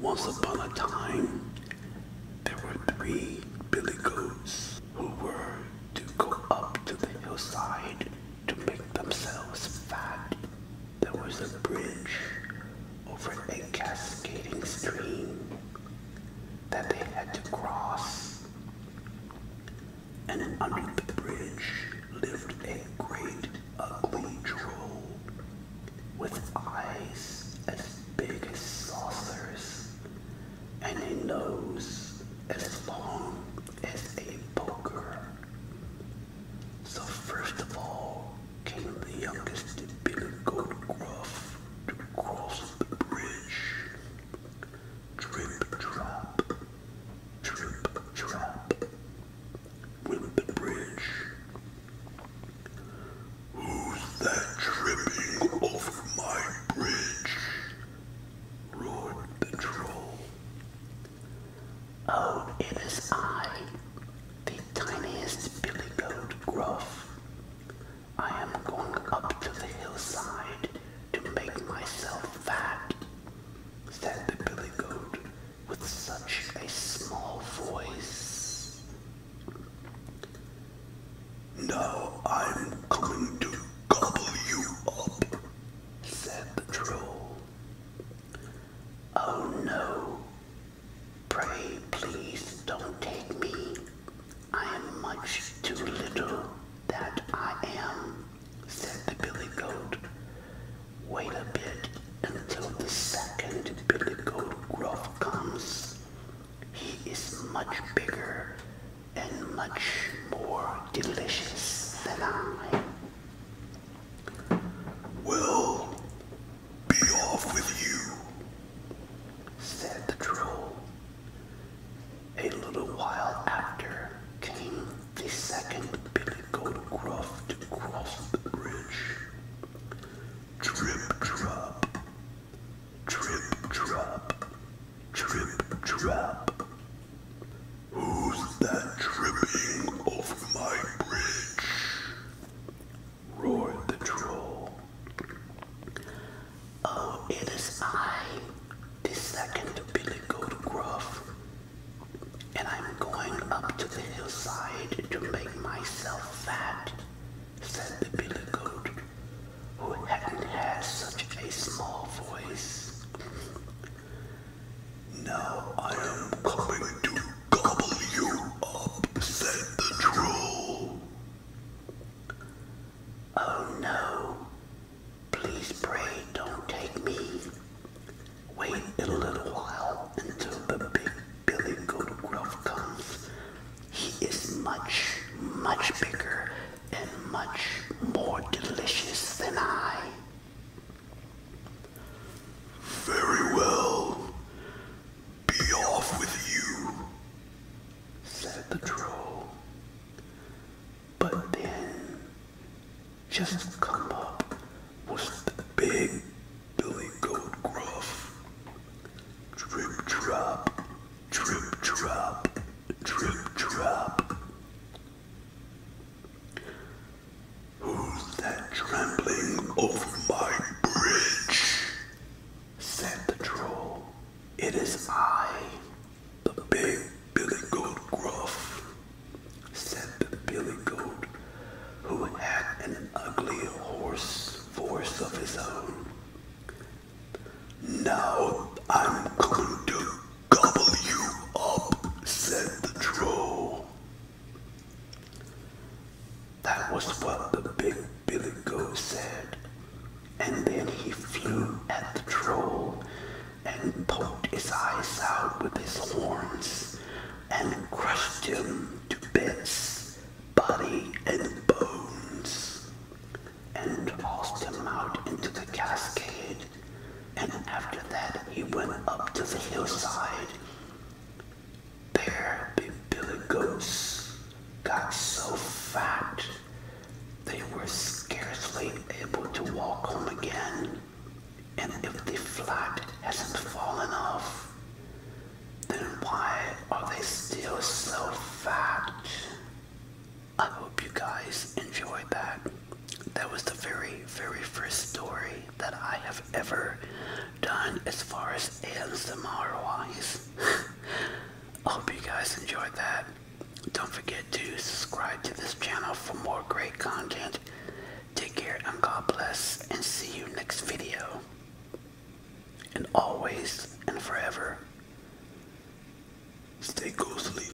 Once upon a time, there were three billy goats who were to go up to the hillside to make themselves fat. There was a bridge over a cascading stream that they had to cross. And under the bridge lived a great ugly troll with eyes as big as saucers and a nose as long as a poker. So first of all came the youngest bigger goat gruff to cross the bridge drip drop, drip bridge. Who's that tripping over my bridge? roared the troll. Oh, it is I, the tiniest billy goat Gruff. I am going up to the hillside to make myself fat, said the billy goat with such a small voice. Now I'm coming to gobble you up, said the troll. Oh no, pray please don't take me, I am much too little that I am, said the billy goat. Wait a bit until the second billy goat Gruff comes. He is much bigger and much more delicious than I. Well, be off with you, said the troll. A little while after came the second Billy Goldgruff to cross the bridge. Trip, drop, trip, drop, trip, drop. Who's that tripping off my bridge? roared the troll. Oh, it is I, the second Billy Goat Gruff, and I'm going up to the hillside to make myself fat, said the Billy Goat, who hadn't had such a small voice. Now I am coming to gobble you up, said the troll. Oh no, please pray don't take me. Wait a little while until the big Billy Goodruff comes. He is much, much bigger and much more delicious than I. Very well. Be off with you, said the troll. But then, just come up was the big billy goat gruff. Drip drop, drip drop, drip drop. Who's that trampling over my bridge? Said the troll. It is I, the big billy goat gruff, said the billy goat, who had an ugly hoarse voice of his own. Now I'm going to gobble you up, said the troll. That was what the big Billy Goat said. And then he flew at the troll and poked his eyes out with his horns and crushed him to bits, body and bones, and tossed him out into the cascade and after that he went up to the hillside. There the billy goats got so fat they were scarcely able to walk home again, and if the flat hasn't fallen off, then why are they still so fat? I hope you guys enjoyed that that was the very, very first story that I have ever done as far as ASMR wise. I hope you guys enjoyed that. Don't forget to subscribe to this channel for more great content. Take care and God bless and see you next video. And always and forever, stay ghostly.